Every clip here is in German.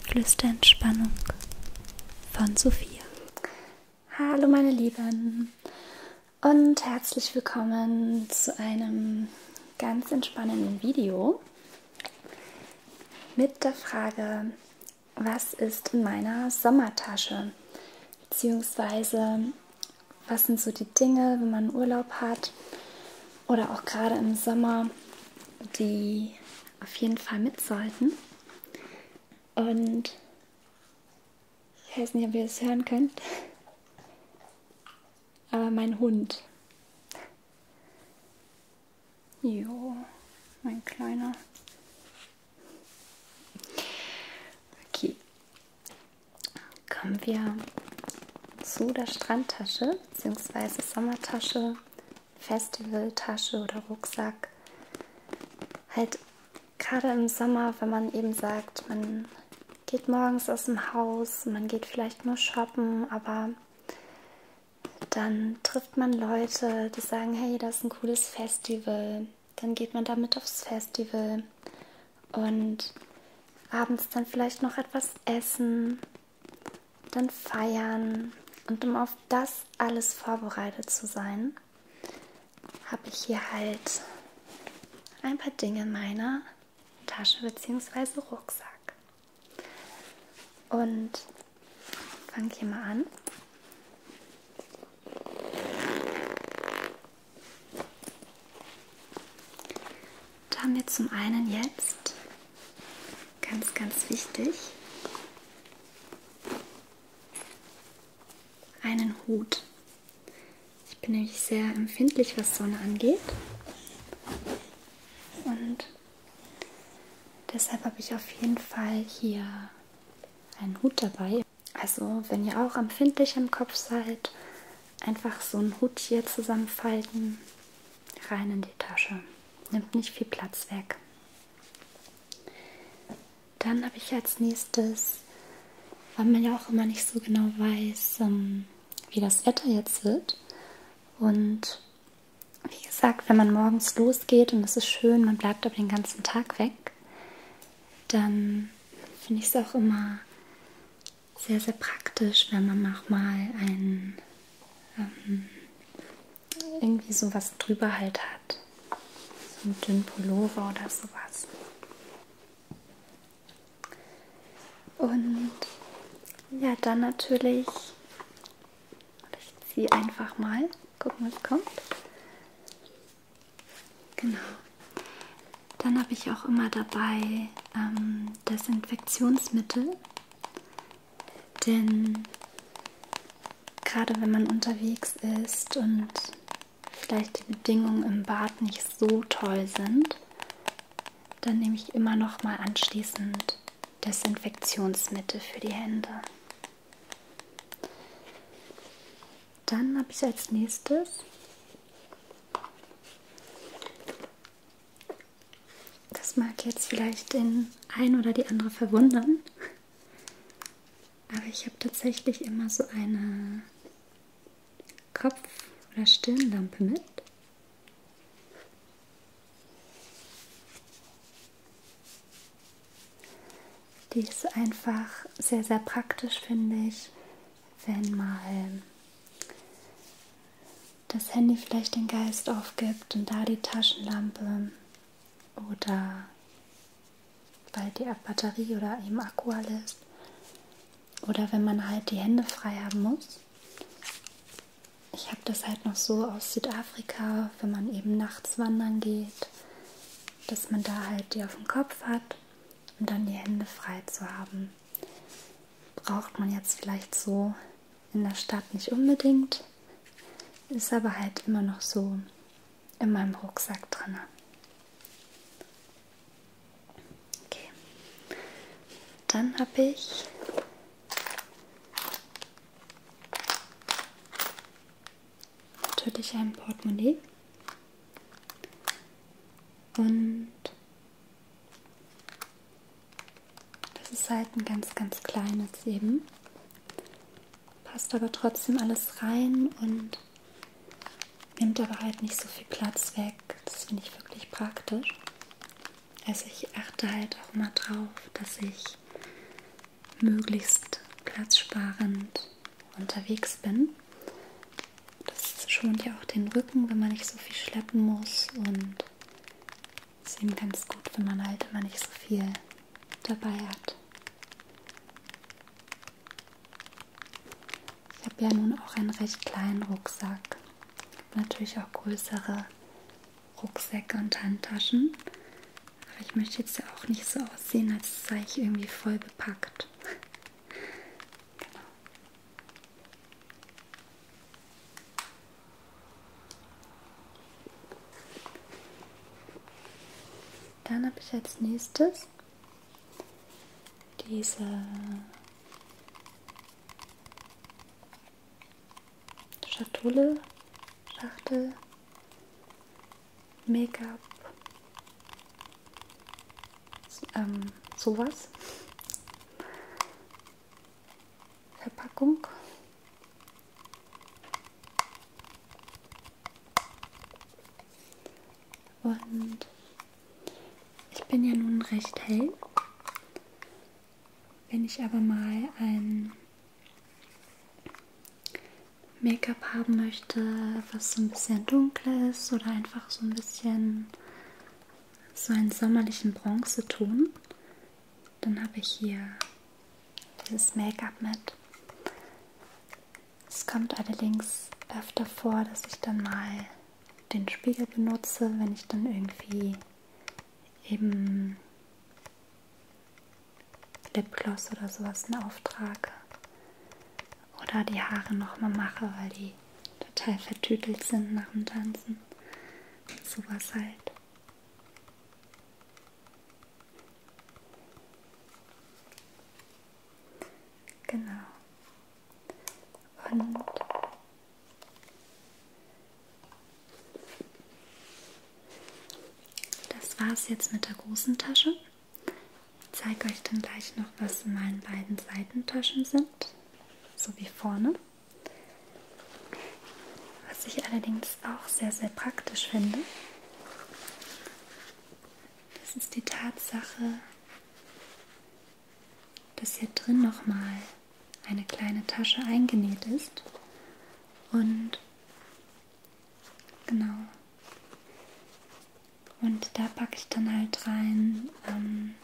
Flüster Entspannung von Sophia. Hallo meine Lieben und herzlich willkommen zu einem ganz entspannenden Video mit der Frage, was ist in meiner Sommertasche? Beziehungsweise, was sind so die Dinge, wenn man Urlaub hat oder auch gerade im Sommer, die auf jeden Fall mit sollten. Und ich weiß nicht, ob ihr es hören könnt, aber mein Hund. Jo, mein kleiner. Okay. Kommen wir zu der Strandtasche bzw. Sommertasche Festivaltasche oder Rucksack. Halt gerade im Sommer, wenn man eben sagt, man geht morgens aus dem Haus, man geht vielleicht nur shoppen, aber dann trifft man Leute, die sagen, hey, das ist ein cooles Festival. Dann geht man damit aufs Festival und abends dann vielleicht noch etwas essen dann feiern. Und um auf das alles vorbereitet zu sein, habe ich hier halt ein paar Dinge in meiner Tasche bzw. Rucksack. Und fange hier mal an. Da haben wir zum einen jetzt Ganz, ganz wichtig. Einen Hut. Ich bin nämlich sehr empfindlich, was Sonne angeht. Und deshalb habe ich auf jeden Fall hier einen Hut dabei. Also wenn ihr auch empfindlich im Kopf seid, einfach so einen Hut hier zusammenfalten, rein in die Tasche nimmt nicht viel Platz weg. Dann habe ich als nächstes, weil man ja auch immer nicht so genau weiß, ähm, wie das Wetter jetzt wird. Und wie gesagt, wenn man morgens losgeht und es ist schön, man bleibt aber den ganzen Tag weg, dann finde ich es auch immer sehr, sehr praktisch, wenn man auch mal einen ähm, irgendwie sowas drüber halt hat. So einen dünnen Pullover oder sowas. Und ja, dann natürlich, ich ziehe einfach mal, gucken was kommt. Genau. Dann habe ich auch immer dabei ähm, Desinfektionsmittel. Denn gerade wenn man unterwegs ist und vielleicht die Bedingungen im Bad nicht so toll sind, dann nehme ich immer noch mal anschließend Desinfektionsmittel für die Hände. Dann habe ich als nächstes das mag jetzt vielleicht den einen oder die andere verwundern, aber ich habe tatsächlich immer so eine Kopf- oder Stirnlampe mit. Die ist einfach sehr, sehr praktisch, finde ich, wenn mal das Handy vielleicht den Geist aufgibt und da die Taschenlampe oder weil die Batterie oder eben Akku alle ist. Oder wenn man halt die Hände frei haben muss. Ich habe das halt noch so aus Südafrika, wenn man eben nachts wandern geht, dass man da halt die auf dem Kopf hat und um dann die Hände frei zu haben. Braucht man jetzt vielleicht so in der Stadt nicht unbedingt, ist aber halt immer noch so in meinem Rucksack drin. Okay. Dann habe ich natürlich ein Portemonnaie und das ist halt ein ganz, ganz kleines eben. Passt aber trotzdem alles rein und nimmt aber halt nicht so viel Platz weg. Das finde ich wirklich praktisch. Also ich achte halt auch mal drauf, dass ich möglichst platzsparend unterwegs bin. Das schont ja auch den Rücken, wenn man nicht so viel schleppen muss und Deswegen ganz gut, wenn man halt immer nicht so viel dabei hat. Ich habe ja nun auch einen recht kleinen Rucksack. Natürlich auch größere Rucksäcke und Handtaschen. Aber ich möchte jetzt ja auch nicht so aussehen, als sei ich irgendwie voll bepackt. genau. Dann habe ich als nächstes diese Schatulle, Schachtel, Make-up, ähm, sowas. Verpackung. Und ich bin ja nun recht hell. Wenn ich aber mal ein Make-up haben möchte, was so ein bisschen dunkler ist oder einfach so ein bisschen so einen sommerlichen Bronzeton. Dann habe ich hier dieses Make-up mit. Es kommt allerdings öfter vor, dass ich dann mal den Spiegel benutze, wenn ich dann irgendwie eben Lipgloss oder sowas in Auftrag oder die Haare nochmal mache, weil die total vertütelt sind nach dem Tanzen. Sowas halt. Genau. Und das war es jetzt mit der großen Tasche. Ich zeige euch dann gleich noch, was in meinen beiden Seitentaschen sind so wie vorne. Was ich allerdings auch sehr, sehr praktisch finde, das ist die Tatsache, dass hier drin nochmal eine kleine Tasche eingenäht ist und genau und da packe ich dann halt rein ähm,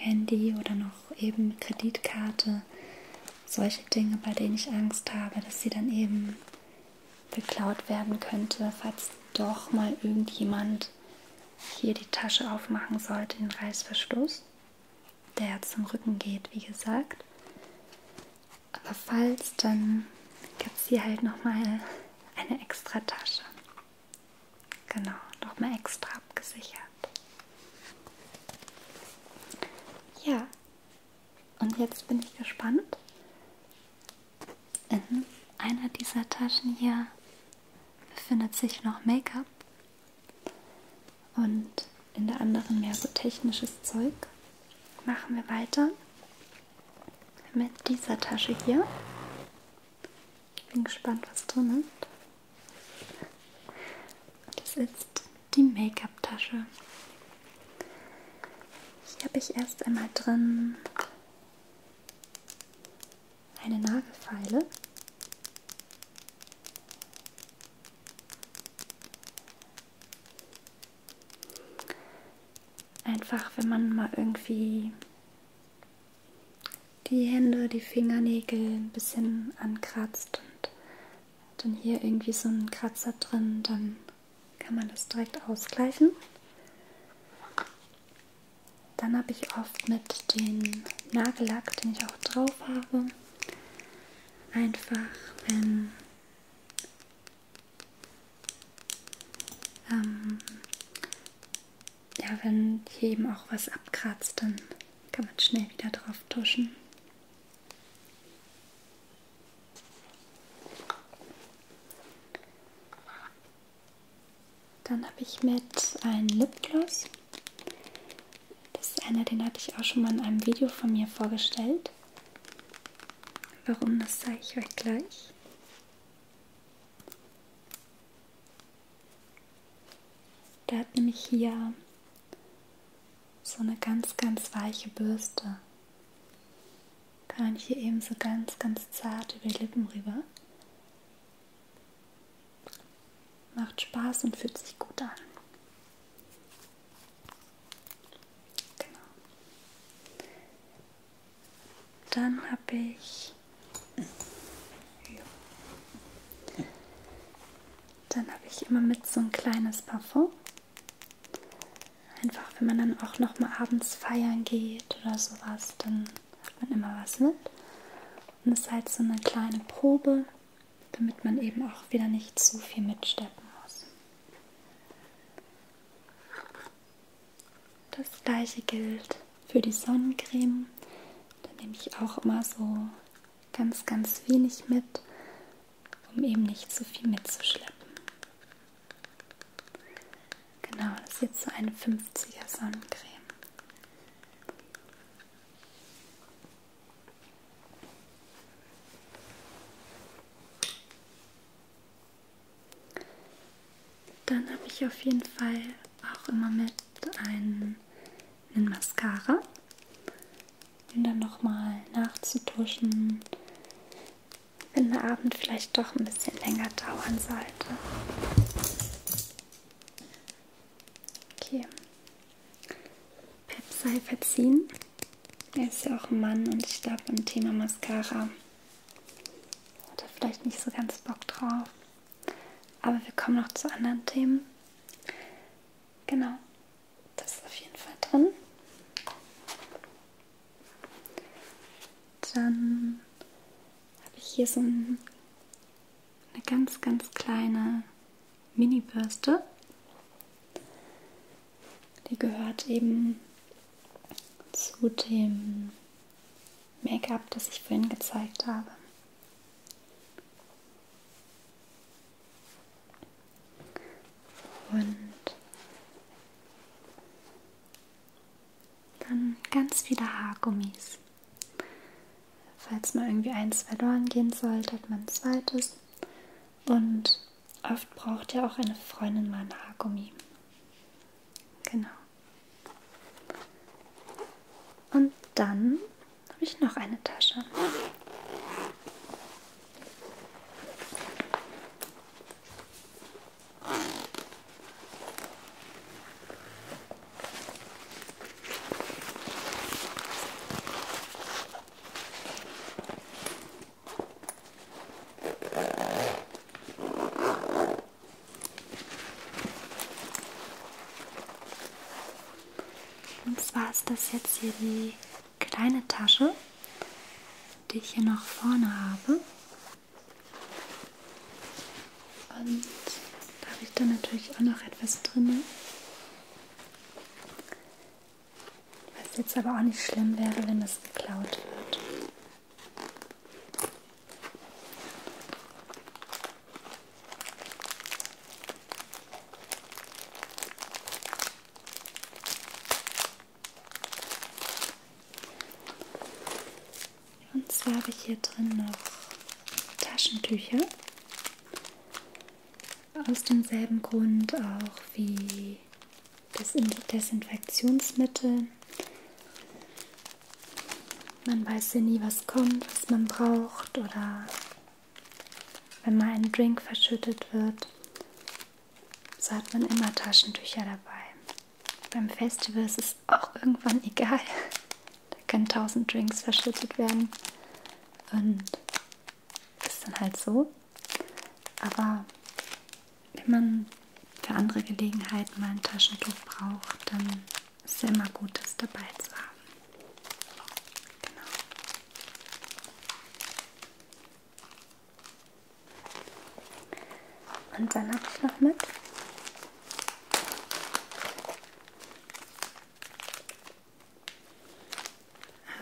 Handy oder noch eben Kreditkarte, solche Dinge, bei denen ich Angst habe, dass sie dann eben geklaut werden könnte, falls doch mal irgendjemand hier die Tasche aufmachen sollte, den Reißverschluss, der zum Rücken geht, wie gesagt. Aber falls, dann gibt es hier halt nochmal eine extra Tasche. Genau, nochmal extra abgesichert. Ja, und jetzt bin ich gespannt. In einer dieser Taschen hier befindet sich noch Make-up und in der anderen mehr so technisches Zeug. Machen wir weiter mit dieser Tasche hier. Ich bin gespannt, was drin ist. Das ist die Make-up-Tasche. Hier habe ich erst einmal drin eine Nagelfeile. Einfach, wenn man mal irgendwie die Hände, die Fingernägel ein bisschen ankratzt und dann hier irgendwie so ein Kratzer drin, dann kann man das direkt ausgleichen. Dann habe ich oft mit dem Nagellack, den ich auch drauf habe, einfach wenn ähm, ja, wenn hier eben auch was abkratzt, dann kann man schnell wieder drauf tuschen. Dann habe ich mit einem Lipgloss. Das ist einer, den hatte ich auch schon mal in einem Video von mir vorgestellt. Warum, das zeige ich euch gleich. Der hat nämlich hier so eine ganz, ganz weiche Bürste. Kann man hier eben so ganz, ganz zart über die Lippen rüber. Macht Spaß und fühlt sich gut an. Genau. Dann habe ich. Dann habe ich immer mit so ein kleines Parfum. Einfach, wenn man dann auch noch mal abends feiern geht oder sowas, dann hat man immer was mit. Und es ist halt so eine kleine Probe, damit man eben auch wieder nicht zu viel mitsteppen muss. Das gleiche gilt für die Sonnencreme. Da nehme ich auch immer so ganz, ganz wenig mit, um eben nicht zu viel mitzuschleppen. Genau, das ist jetzt so eine 50er Sonnencreme. Dann habe ich auf jeden Fall auch immer mit einen, einen Mascara, um dann nochmal nachzutuschen, wenn der Abend vielleicht doch ein bisschen länger dauern sollte. Okay. Pep sei verziehen. Er ist ja auch ein Mann und ich glaube, im Thema Mascara hat er vielleicht nicht so ganz Bock drauf. Aber wir kommen noch zu anderen Themen. Genau, das ist auf jeden Fall drin. Dann habe ich hier so ein, eine ganz, ganz kleine Mini-Bürste. Die gehört eben zu dem Make-up, das ich vorhin gezeigt habe. Und dann ganz viele Haargummis. Falls mal irgendwie eins verloren gehen sollte, hat man ein zweites. Und oft braucht ja auch eine Freundin mal ein Haargummi. Genau. Und dann habe ich noch eine Tasche. Und zwar ist das jetzt hier die kleine Tasche, die ich hier noch vorne habe. Und da habe ich dann natürlich auch noch etwas drin. Was jetzt aber auch nicht schlimm wäre, wenn das geklaut wird. Und zwar habe ich hier drin noch Taschentücher. Aus demselben Grund auch wie das Desinfektionsmittel. Man weiß ja nie, was kommt, was man braucht oder wenn mal ein Drink verschüttet wird, so hat man immer Taschentücher dabei. Beim Festival ist es auch irgendwann egal. Da können tausend Drinks verschüttet werden und ist dann halt so. Aber wenn man für andere Gelegenheiten mal ein Taschentuch braucht, dann ist es ja immer gut, das dabei zu haben. Genau. Und dann habe ich noch mit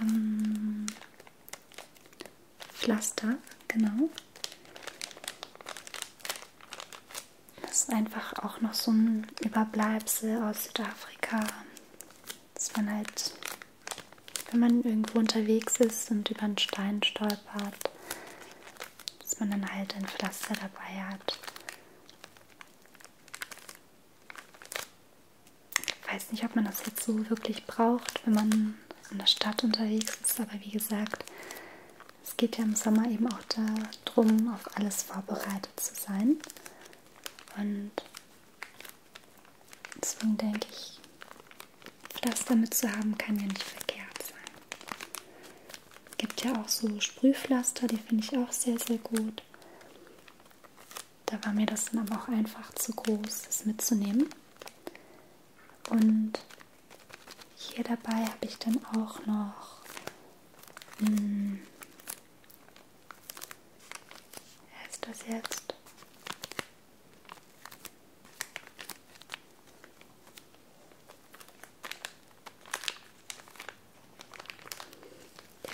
ähm, Pflaster, genau. Das ist einfach auch noch so ein Überbleibsel aus Südafrika, dass man halt, wenn man irgendwo unterwegs ist und über einen Stein stolpert, dass man dann halt ein Pflaster dabei hat. Ich weiß nicht, ob man das jetzt so wirklich braucht, wenn man in der Stadt unterwegs ist. Aber wie gesagt, es geht ja im Sommer eben auch darum, auf alles vorbereitet zu sein. Und deswegen denke ich, das damit zu haben, kann ja nicht verkehrt sein. Es gibt ja auch so Sprühpflaster, die finde ich auch sehr, sehr gut. Da war mir das dann aber auch einfach zu groß, das mitzunehmen. Und hier dabei habe ich dann auch noch mh, hm, wie heißt das jetzt?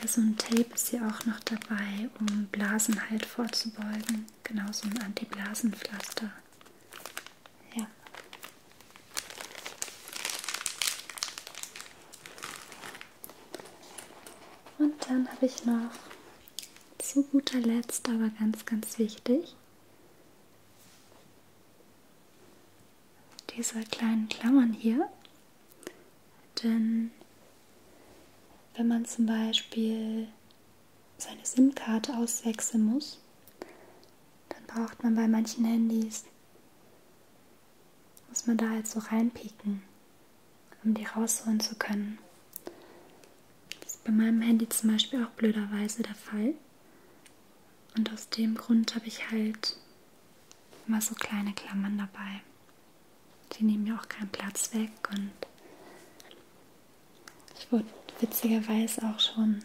Ja, so ein Tape ist hier auch noch dabei, um Blasen halt vorzubeugen genau so ein Antiblasenpflaster. Ja. Und dann habe ich noch zu guter Letzt, aber ganz, ganz wichtig, diese kleinen Klammern hier. Denn wenn man zum Beispiel seine SIM-Karte auswechseln muss, dann braucht man bei manchen Handys, muss man da halt so reinpieken, um die rausholen zu können. Das ist bei meinem Handy zum Beispiel auch blöderweise der Fall. Und aus dem Grund habe ich halt immer so kleine Klammern dabei. Die nehmen ja auch keinen Platz weg und ich wurde witzigerweise auch schon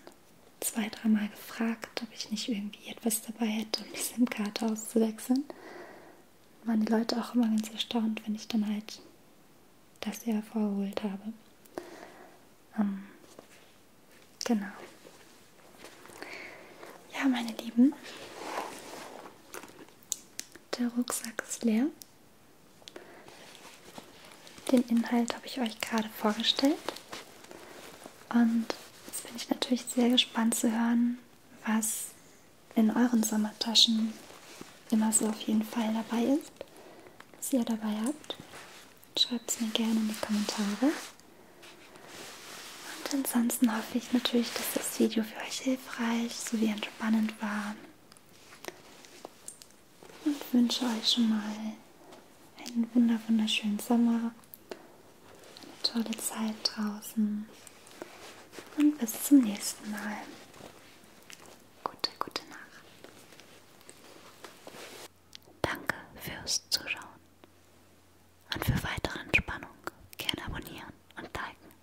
zwei, dreimal gefragt, ob ich nicht irgendwie etwas dabei hätte, um die SIM-Karte auszuwechseln. Waren die Leute auch immer ganz erstaunt, wenn ich dann halt das hier hervorgeholt habe. Ähm, genau. Ja, meine Lieben, der Rucksack ist leer. Den Inhalt habe ich euch gerade vorgestellt. Und jetzt bin ich natürlich sehr gespannt zu hören, was in euren Sommertaschen immer so auf jeden Fall dabei ist, was ihr dabei habt. Schreibt es mir gerne in die Kommentare. Und ansonsten hoffe ich natürlich, dass das Video für euch hilfreich sowie entspannend war und wünsche euch schon mal einen wunder wunderschönen Sommer, eine tolle Zeit draußen und bis zum nächsten Mal. Gute, gute Nacht. Danke fürs Zuschauen und für weitere Entspannung gerne abonnieren und liken.